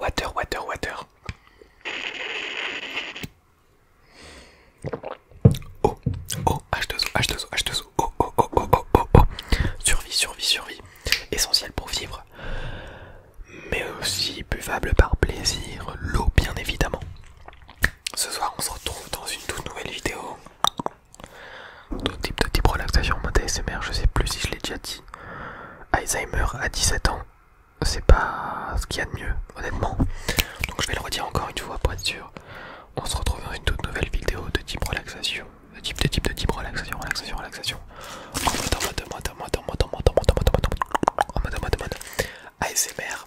Water, water, water. Oh, oh, H2O, H2O, H2O, oh, oh, oh, oh, oh, oh, oh. Survie, survie, survie. Essentiel pour vivre, mais aussi buvable par plaisir, l'eau bien évidemment. Ce soir, on se retrouve dans une toute nouvelle vidéo. D'autres types de type relaxation, mode ASMR, je sais plus si je l'ai déjà dit. Alzheimer à 17 ans, c'est pas ce qu'il y a de mieux, honnêtement. Donc je vais le redire encore une fois pour être sûr. On se retrouve dans une toute nouvelle vidéo de type relaxation. De type, de type, de type relaxation, relaxation, relaxation. en mode, en mode, ASMR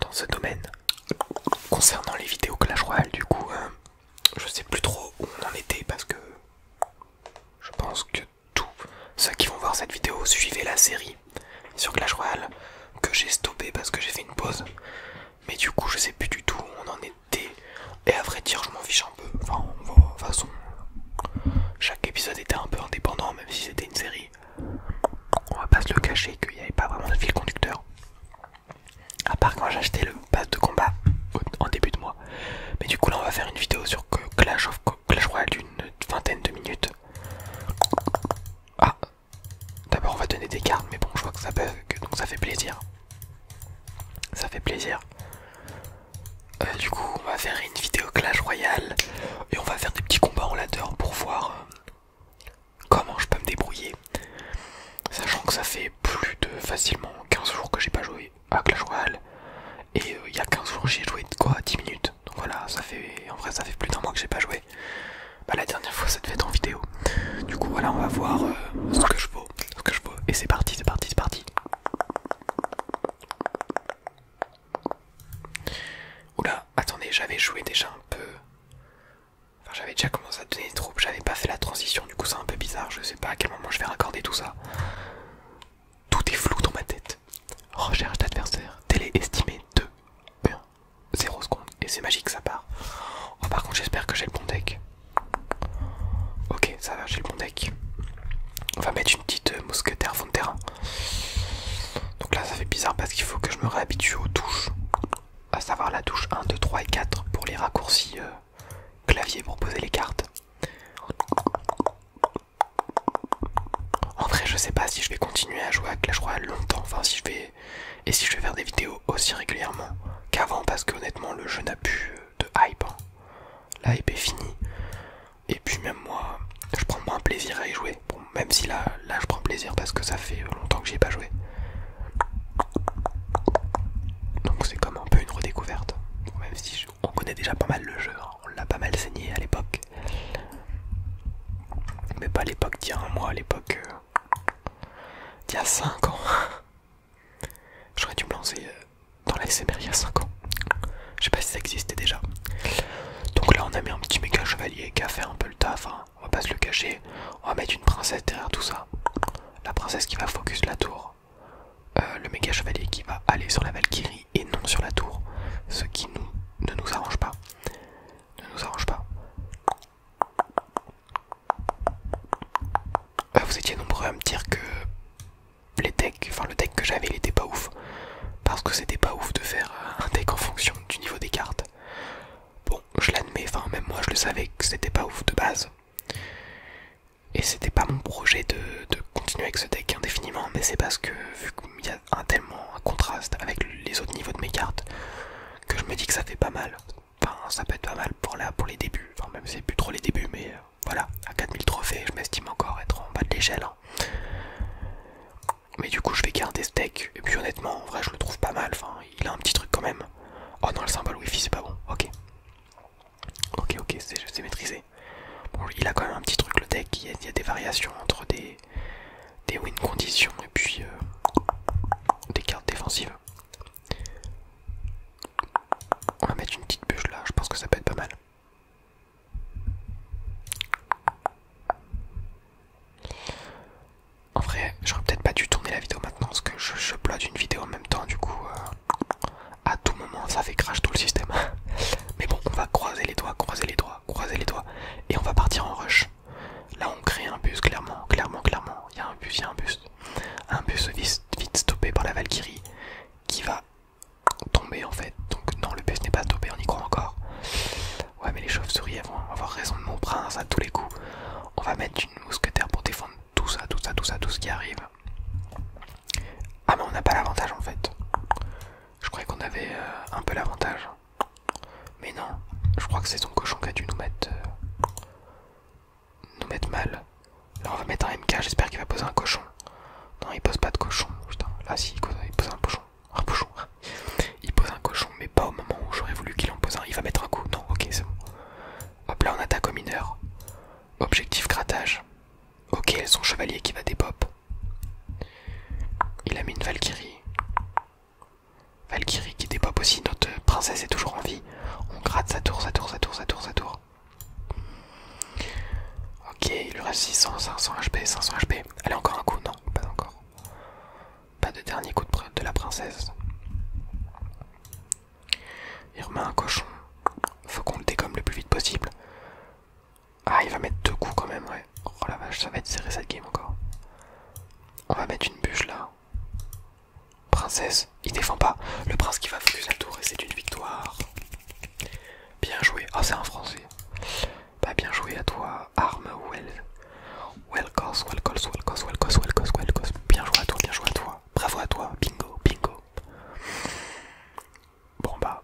dans ce domaine. Concernant les vidéos Clash Royale, du coup, euh, je sais plus trop où on en était parce que je pense que tous ceux qui vont voir cette vidéo suivaient la série sur Clash Royale que j'ai stoppé parce que j'ai fait une pause. Mais du coup, je sais plus du tout où on en était. Et à vrai dire, je m'en fiche un peu. Enfin, de toute façon, chaque épisode était un peu indépendant, même si c'était une série on va pas se le cacher qu'il n'y avait pas vraiment de fil conducteur. À part quand j'ai acheté le pass de combat en début de mois. Mais du coup là on va faire une vidéo sur Clash of Clash Royale d'une vingtaine de minutes. Ah D'abord on va donner des cartes mais bon je vois que ça bug donc ça fait plaisir. Ça fait plaisir. Euh, du coup on va faire une vidéo Clash Royale et on va faire des petits combats en ladder pour voir euh, comment je peux me débrouiller sachant que ça fait plus de facilement 15 jours que j'ai pas joué à Clash Royale et euh, il y a 15 jours j'ai joué de quoi 10 minutes donc voilà ça fait en vrai ça fait plus d'un mois que j'ai pas joué bah la dernière fois ça devait être en vidéo du coup voilà on va voir euh, ce que je veux, ce que je et c'est parti c'est parti c'est parti Oula, attendez, j'avais joué déjà un peu. Enfin, j'avais déjà commencé à donner des troupes, j'avais pas fait la transition, du coup, c'est un peu bizarre. Je sais pas à quel moment je vais raccorder tout ça. Tout est flou dans ma tête. Recherche d'adversaire, Télé estimé 2, 0 secondes. Et c'est magique, ça part. Oh, par contre, j'espère que j'ai le bon deck. Ok, ça va, j'ai le bon deck. On va mettre une petite euh, mousquetaire terrain. Donc là ça fait bizarre parce qu'il faut que je me réhabitue aux touches, à savoir la touche 1, 2, 3 et 4 pour les raccourcis euh, clavier pour poser les cartes. En vrai je sais pas si je vais continuer à jouer à Clash Royale longtemps, enfin si je vais et si je vais faire des vidéos aussi régulièrement qu'avant parce que honnêtement le jeu n'a plus euh, de hype. Hein. La hype est finie. Et puis même moi, je prends moins plaisir à y jouer. même si là, je prends plaisir parce que ça fait longtemps que j'y ai pas joué. Donc c'est comme un peu une redécouverte. même si on connaît déjà pas mal le jeu, hein. on l'a pas mal saigné à l'époque. Mais pas à l'époque d'il y a un mois, à l'époque euh, d'il y a 5 ans. J'aurais dû me lancer euh, dans la SMR il y a 5 ans. Je sais pas si ça existait déjà. Donc là, on a mis un petit méga chevalier qui a fait un peu le taf. Hein. On va pas se le cacher. On va mettre une princesse derrière tout ça. La princesse qui va focus la tour. Euh, le méga chevalier qui va aller sur la Valkyrie et non sur la tour. Ce qui nous, ne nous arrange pas. Ne nous arrange pas. Ah, vous étiez nombreux à me dire que les enfin le deck que j'avais il était pas ouf, parce que c'était pas ouf de faire euh, un deck en fonction du niveau des cartes. Bon, je l'admets, enfin même moi je le savais que c'était pas ouf de base. Et c'était pas mon projet de, continuer avec ce deck indéfiniment, mais c'est parce que vu qu'il y a un tellement un contraste avec les autres niveaux de mes cartes, que je me dis que ça fait pas mal. Enfin, ça peut être pas mal pour, pour les débuts, enfin même si c'est plus trop les débuts, mais euh, voilà, à 4000 trophées, je m'estime encore être en bas de l'échelle. Hein. Mais du coup, je vais garder ce deck. Et puis, honnêtement, en vrai, je le trouve pas mal. Enfin, il a un petit truc quand même. Oh non, le symbole wifi, c'est pas bon. Ok. Ok, ok, c'est maîtrisé. Bon, il a quand même un petit truc, le deck. Il y a, des variations entre des, win conditions et puis euh, des cartes défensives. On va mettre une petite bûche là, je pense que ça peut être pas mal. En vrai, j'aurais peut-être pas dû tourner la vidéo maintenant parce que je, je une vidéo en même temps, du coup, euh, à tout moment ça fait crash tout le système. Mais bon, on va croiser les doigts, croiser les doigts, croiser les doigts, et on va partir en rush. Là, on crée un bus, clairement, clairement, clairement. Il y a un bus, il y a un bus. Un bus vite stoppé par la Valkyrie qui va tomber en fait. Donc non, le bus n'est pas tombé, on y croit encore. Ouais, mais les chauves-souris elles vont avoir raison de mon prince à tous les coups. On va mettre une mousquetaire pour défendre tout ça, tout ça, tout ça, tout ce qui arrive. Ah mais on n'a pas l'avantage en fait. Je croyais qu'on avait euh, un peu l'avantage. Mais non, je crois que c'est son cochon qui a dû nous mettre euh, nous mettre mal. Alors on va mettre un MK, j'espère qu'il va poser un cochon. Non, il pose pas de cochon. Putain, là si, il pose, un cochon. Un cochon. Il pose un cochon, mais pas au moment où j'aurais voulu qu'il en pose un. Il va mettre un coup. Non, ok, c'est bon. Hop là, on attaque au mineur. Objectif grattage. Ok, son chevalier qui va dépop. Il a mis une Valkyrie. Valkyrie qui dépop aussi, notre princesse est toujours en vie. On gratte sa tour, sa tour, sa tour, sa tour, sa tour. Ok, il lui reste 600, 500 HP, 500 HP. Allez, encore un coup, non, pas encore. Pas de dernier coup de, la princesse. Il remet un cochon. Faut qu'on le dégomme le plus vite possible. Ah, il va mettre deux coups quand même, ouais. Oh la vache, ça va être serré cette game encore. On va mettre une bûche là. Princesse, il défend pas. Le prince qui va focus la tour et c'est une victoire. Bien joué. Ah, c'est en français. Bah, bien joué à toi, Arme Welcome, well welcome, well welcome, well Bien joué à toi, bien joué à toi. Bravo à toi, bingo, bingo. Bon, bah,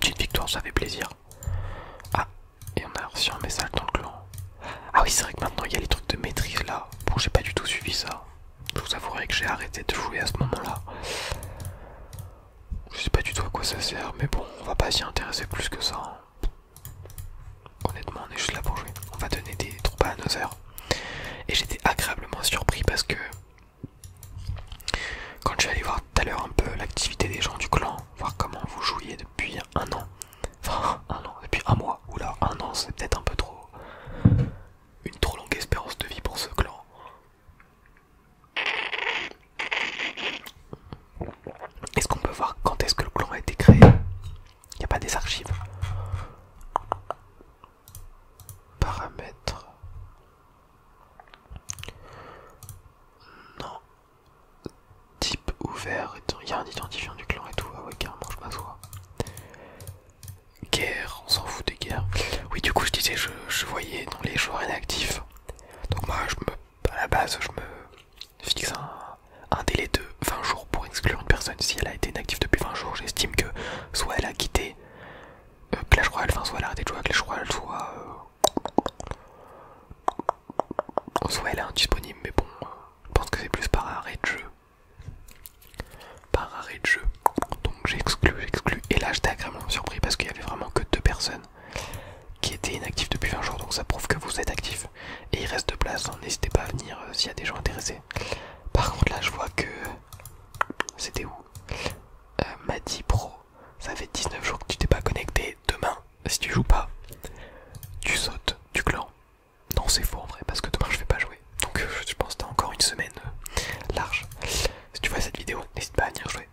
petite victoire, ça fait plaisir. Ah, et on a reçu un message dans le clan. Ah, oui, c'est vrai que maintenant il y a les trucs de maîtrise là. Bon, j'ai pas du tout suivi ça. Je vous avouerai que j'ai arrêté de jouer à ce moment-là. Je sais pas du tout à quoi ça sert, mais bon, on va pas s'y intéresser plus que ça. Hein. Honnêtement, on est juste là pour jouer. On va donner des troupes à nos heures. Et j'étais agréablement surpris parce que quand je suis allé voir tout à l'heure un peu l'activité des gens du clan, voir comment vous jouiez depuis un an, enfin un an, depuis un mois, Oula, un an c'est peut-être un peu trop, une trop longue espérance de vie pour ce clan. Est-ce qu'on peut voir quand est-ce que le clan a été créé Il a pas des archives. Paramètres. Non. Type ouvert. et y a un identifiant du clan et tout. Ah ouais, carrément, je m'assois guerre, on s'en fout des guerres. Oui, du coup, je disais, je, voyais dans les joueurs inactifs. Donc, moi, je me, à la base, je me fixe un, délai de 20 jours pour exclure une personne. Si elle a été inactive depuis 20 jours, j'estime que soit elle a quitté Clash euh, Royale, enfin, soit elle a arrêté de jouer à Clash Royale, soit. Euh, soit elle est indisponible, mais bon, euh, je pense que c'est plus par arrêt de jeu par arrêt de jeu. Donc j'exclus, j'exclus. Et là j'étais agréablement surpris parce qu'il y avait vraiment que deux personnes qui étaient inactives depuis 20 jours. Donc ça prouve que vous êtes actifs. Et il reste de place, hein. n'hésitez pas à venir euh, s'il y a des gens intéressés. Par contre là je vois que... C'était où m'a euh, Madi Pro, ça fait 19 jours que tu t'es pas connecté. Demain, si tu joues pas, tu sautes tu clan. Non, c'est faux en vrai, parce que demain je vais pas jouer. Donc euh, je pense que t'as encore une semaine euh, large. Si tu vois cette vidéo, n'hésite pas à venir jouer.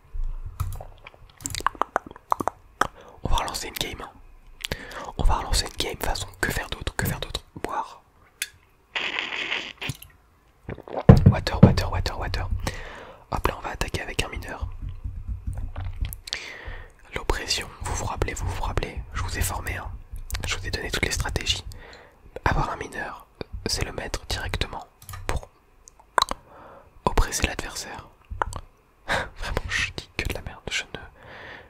On va relancer une game. Hein. On va relancer une game façon que faire d'autre, que faire d'autre. Boire. Water, water, water, water. Hop là, on va attaquer avec un mineur. L'oppression, vous vous rappelez, vous vous rappelez, je vous ai formé, hein. je vous ai donné toutes les stratégies. Avoir un mineur, c'est le mettre directement pour oppresser l'adversaire. Vraiment, je dis que de la merde. Je ne,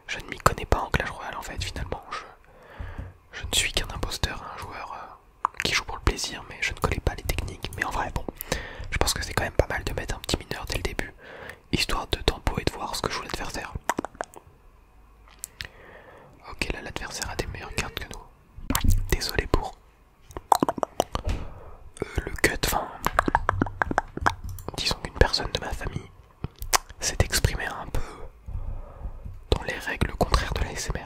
je ne m'y connais pas en Clash Royale en fait. Finalement, je, ne suis qu'un imposteur, un joueur euh, qui joue pour le plaisir, mais je ne connais pas les techniques. Mais en vrai, bon, je pense que c'est quand même pas mal de mettre un petit mineur dès le début, histoire de tempo et de voir ce que joue l'adversaire. Ok, là l'adversaire a des meilleures cartes que nous. Désolé pour euh, le cut. disons qu'une personne de ma famille s'est exprimée un peu dans les règles contraires de la SMR.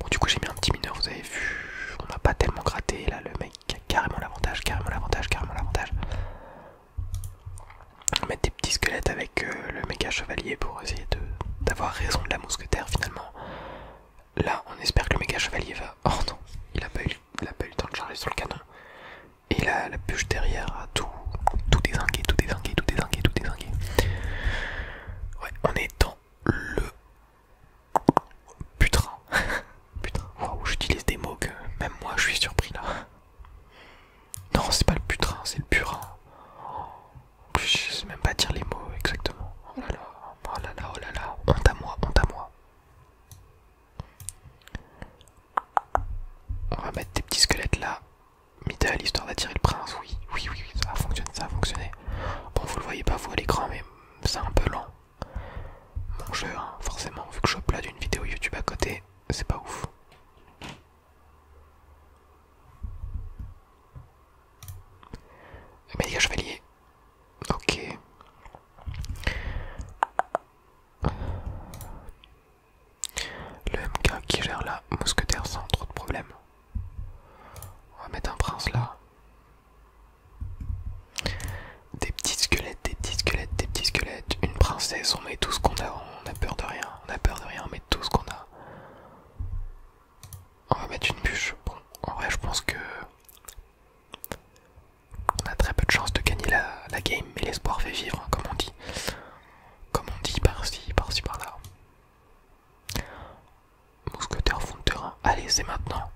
Bon, du coup, j'ai mis un petit mineur, vous avez vu, on a pas tellement gratté. Là, le mec a carrément l'avantage, carrément l'avantage, carrément l'avantage mettre des petits squelettes avec euh, le méga chevalier pour essayer d'avoir raison de la mousquetaire finalement. Là, on espère que le méga chevalier va. Oh non, il a pas eu, le temps de charger sur le canon. Et là, la bûche derrière a tout, tout désingué, tout désingué, tout désingué, tout désingué. Ouais, on est dans le putain. putain, j'utilise des mots que même moi je suis surpris là. Non, c'est pas le putrin, c'est le purin. je sais même pas dire les mots exactement. Oh là là, oh là là, oh là là. Honte à moi, honte à moi. On va mettre des petits squelettes là. à l'histoire d'attirer le prince, oui. Oui, oui, ça a fonctionné, ça a fonctionné. Bon, vous le voyez pas, vous à l'écran, mais c'est un peu lent. Mon jeu, hein, forcément, vu que je suis là d'une vidéo YouTube à côté, c'est pas ouf. Mais chevalier. Ok. Le MK qui gère la mousquetaire sans trop de problèmes. On va mettre un prince là. Des petits squelettes des petits squelettes, des petits squelettes, une princesse, on met tout ce qu'on a, on a peur de rien, on a peur de rien, on met tout ce qu'on a. On va mettre une bûche. Bon, en vrai, je pense que. On a très peu de chance de gagner la, game, mais l'espoir fait vivre, hein, comme on dit. Comme on dit par-ci, par-ci, par-là. Mousquetaire fond de terrain. Allez, c'est maintenant.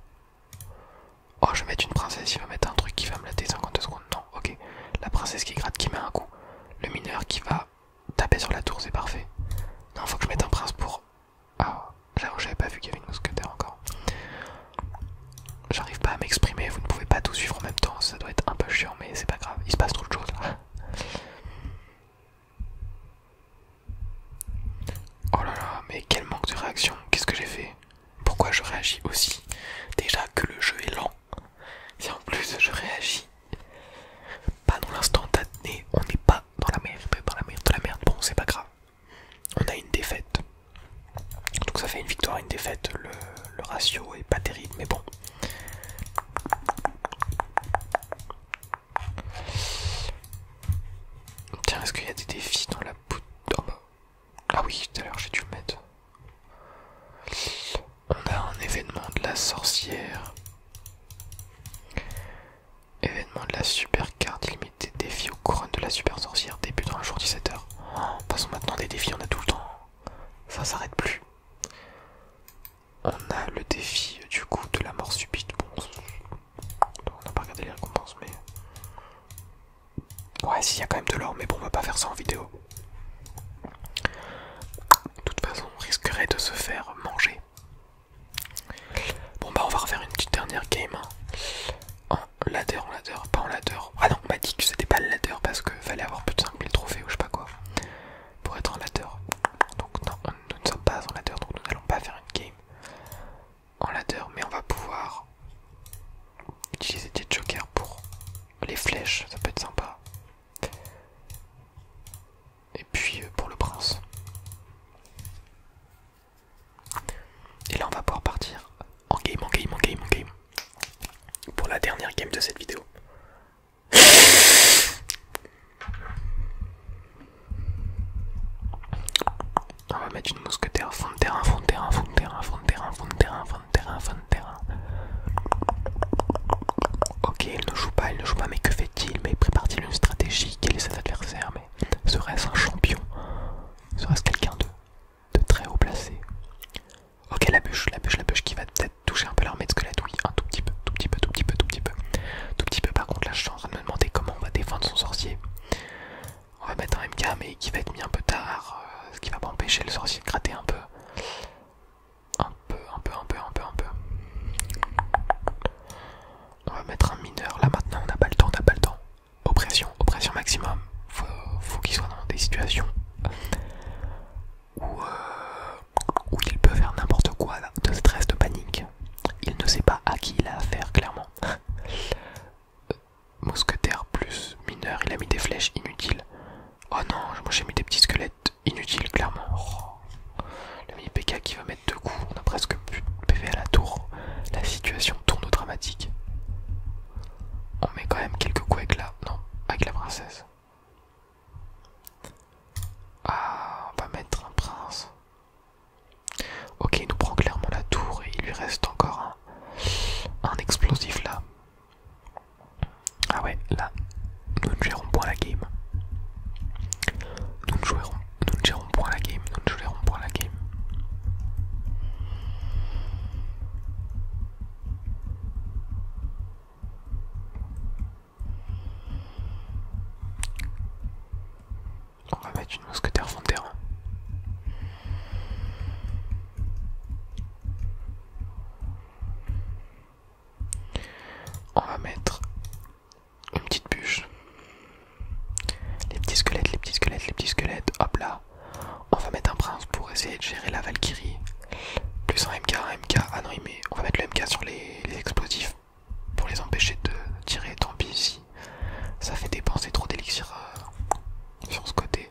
Oh, je vais mettre une princesse, il va mettre un truc qui va me latter 52 secondes. Non, ok. La princesse qui gratte, qui met un coup. Le mineur qui va taper sur la tour, c'est parfait. Non, faut que je mette un prince pour... Ah, j'avoue, j'avais pas vu qu'il y avait une mousquetaire encore. J'arrive pas à m'exprimer, vous ne pouvez pas tout suivre en même temps, ça doit être un peu chiant, mais c'est pas grave, il se passe trop de choses Oh là là, mais quel manque de réaction, qu'est-ce que j'ai fait pourquoi je réagis aussi Déjà que le jeu est lent, et en plus je réagis pas dans l'instant l'instantané, on n'est pas dans la merde, dans la merde, bon c'est pas grave. On a une défaite, donc ça fait une victoire, et une défaite, le, ratio est pas terrible, mais bon. Tiens, est-ce qu'il y a des défis dans la bout ah oui, tout à l'heure j'ai dû le mettre. On a un événement de la sorcière. Événement de la super carte illimitée. Défi aux couronnes de la super sorcière. débutant un jour 17h. Passons maintenant, des défis, on a tout le temps. Ça s'arrête plus. On a le défi du coup de la mort subite. Bon, on n'a pas regardé les récompenses, mais Ouais, s'il y a quand même de l'or, mais bon, on va pas faire ça en vidéo. De toute façon, on risquerait de se faire manger. Bon, bah, on va refaire une petite dernière game. Hein. En ladder, en ladder, pas en ladder. Ah non, on m'a dit que c'était pas le ladder parce que fallait avoir plus de 5000 trophées ou je sais pas quoi pour être en ladder. Donc, non, nous ne sommes pas en ladder, donc nous n'allons pas faire une game en ladder, mais on va pouvoir Utiliser des jokers pour les flèches, ça peut être sympa. Et puis euh, pour le prince. Et là on va pouvoir partir en game, en game, en game, en game. Pour la dernière game de cette vidéo on va mettre une mousquetaire, fond de terrain, fond de terrain, fond de terrain, fond de terrain, fond de terrain, fond de terrain, fond de terrain. Ok, il ne joue pas, il ne joue pas, mais que fait-il Mais prépare-t-il une stratégie Quel est cet adversaire Mais serait-ce un champion Serait-ce quelqu'un de, très haut placé Ok, la bûche, la bûche, la bûche qui va peut-être toucher un peu leur de squelette, oui, un tout petit peu, tout petit peu, tout petit peu, tout petit peu. Tout petit peu, par contre, la chance à en de me demander comment on va défendre son sorcier. On va mettre un MK mais qui va être mis un peu tard, euh, ce qui va pas empêcher le sorcier de gratter un peu. Un peu, un peu, un peu, un peu, un peu. On va mettre un mineur là maintenant, on n'a pas le temps, on n'a pas le temps. Oppression, oppression maximum. Faut, faut qu'il soit dans des situations où, euh, il peut faire n'importe quoi, de stress, de panique. Il ne sait pas à qui il a affaire, clairement mousquetaire plus mineur, il a mis des flèches inutiles. Oh non, moi j'ai mis des petits squelettes inutiles, clairement. Oh. Le mini PK qui va mettre deux coups, on a presque plus de PV à la tour. La situation tourne dramatique. On met quand même quelques coups Non, avec la princesse. Ah, on va mettre un prince. Ok, nous prend clairement la tour et il lui reste encore un, explosif là. Ah ouais, là, nous ne gérons point la game. Nous ne, nous ne gérons point la game, nous ne gérons point la game. On va mettre une mousquetaire fond On va mettre une petite bûche. Les petits squelettes, les petits squelettes, les petits squelettes. Hop là. On va mettre un prince pour essayer de gérer la Valkyrie. Plus un MK, un MK. Ah non, il met... on va mettre le MK sur les, explosifs pour les empêcher de tirer. Tant pis ici ça fait dépenser trop d'élixir euh, sur ce côté.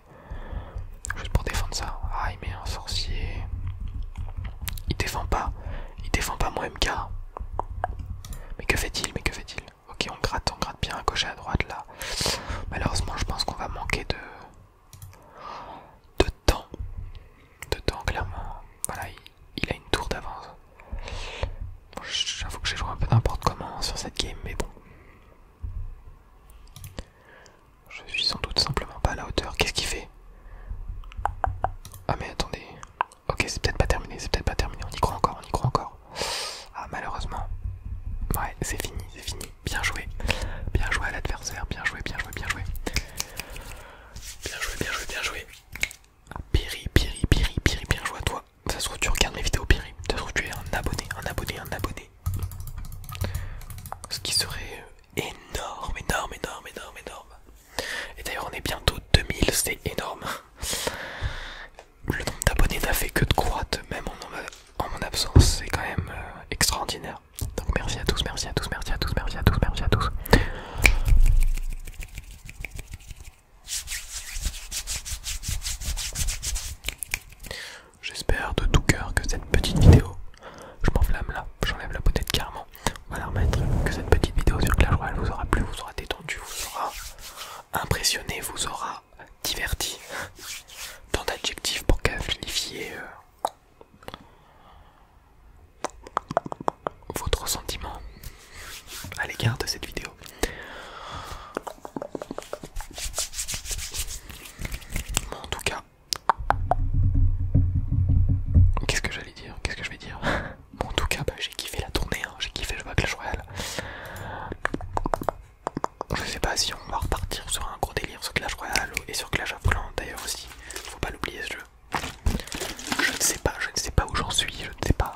Juste pour défendre ça. Ah, il met un sorcier. Il défend pas. Il défend pas mon MK. Mais que fait-il Mais que fait-il Ok, on gratte, on gratte bien à gauche et à droite là. Malheureusement, je pense qu'on va manquer de... de temps. De temps, clairement. Voilà, il a une tour d'avance. J'avoue que j'ai joué un peu n'importe comment sur cette game, mais bon. Je suis sans doute simplement pas à la hauteur. Qu'est-ce qu'il fait Ah mais attendez. Ok, c'est peut-être pas terminé, c'est peut-être pas terminé. On y croit encore, on y croit encore. Ah malheureusement. Ouais, c'est fini, c'est fini. Bien joué. Bien joué à l'adversaire. Bien joué, bien joué, bien joué. Bien joué, bien joué, bien joué. Piri, Piri, Piri, Piri, bien à toi. Ça se trouve, tu regardes mes vidéos, Piri. Ça se trouve, tu es un abonné, un abonné, un abonné. Ce qui serait énorme, énorme, énorme, énorme, énorme. Et d'ailleurs, on est bientôt 2000, c'est énorme. Le nombre d'abonnés n'a fait que de croître, même en mon absence, c'est quand même extraordinaire. Donc merci à tous, merci à tous, merci à tous, merci à tous, merci à tous. J'espère de tout cœur que cette petite vidéo, je m'enflamme là, j'enlève la bouteille carrément, on va la remettre, que cette petite vidéo sur Clash Royale vous aura plu, vous aura détendu, vous aura impressionné, vous aura diverti. Tant d'adjectifs pour qualifier euh, votre sentiment à l'égard de cette vidéo. Bon, en tout cas, qu'est-ce que j'allais dire Qu'est-ce que je vais dire bon, En tout cas, bah, j'ai kiffé la tournée, hein. j'ai kiffé le Clash Royale. Je sais pas si on va repartir sur un gros délire sur Clash Royale et sur Clash of Clans d'ailleurs aussi. Faut pas l'oublier ce jeu. Je ne sais pas, je ne sais pas où j'en suis, je ne sais pas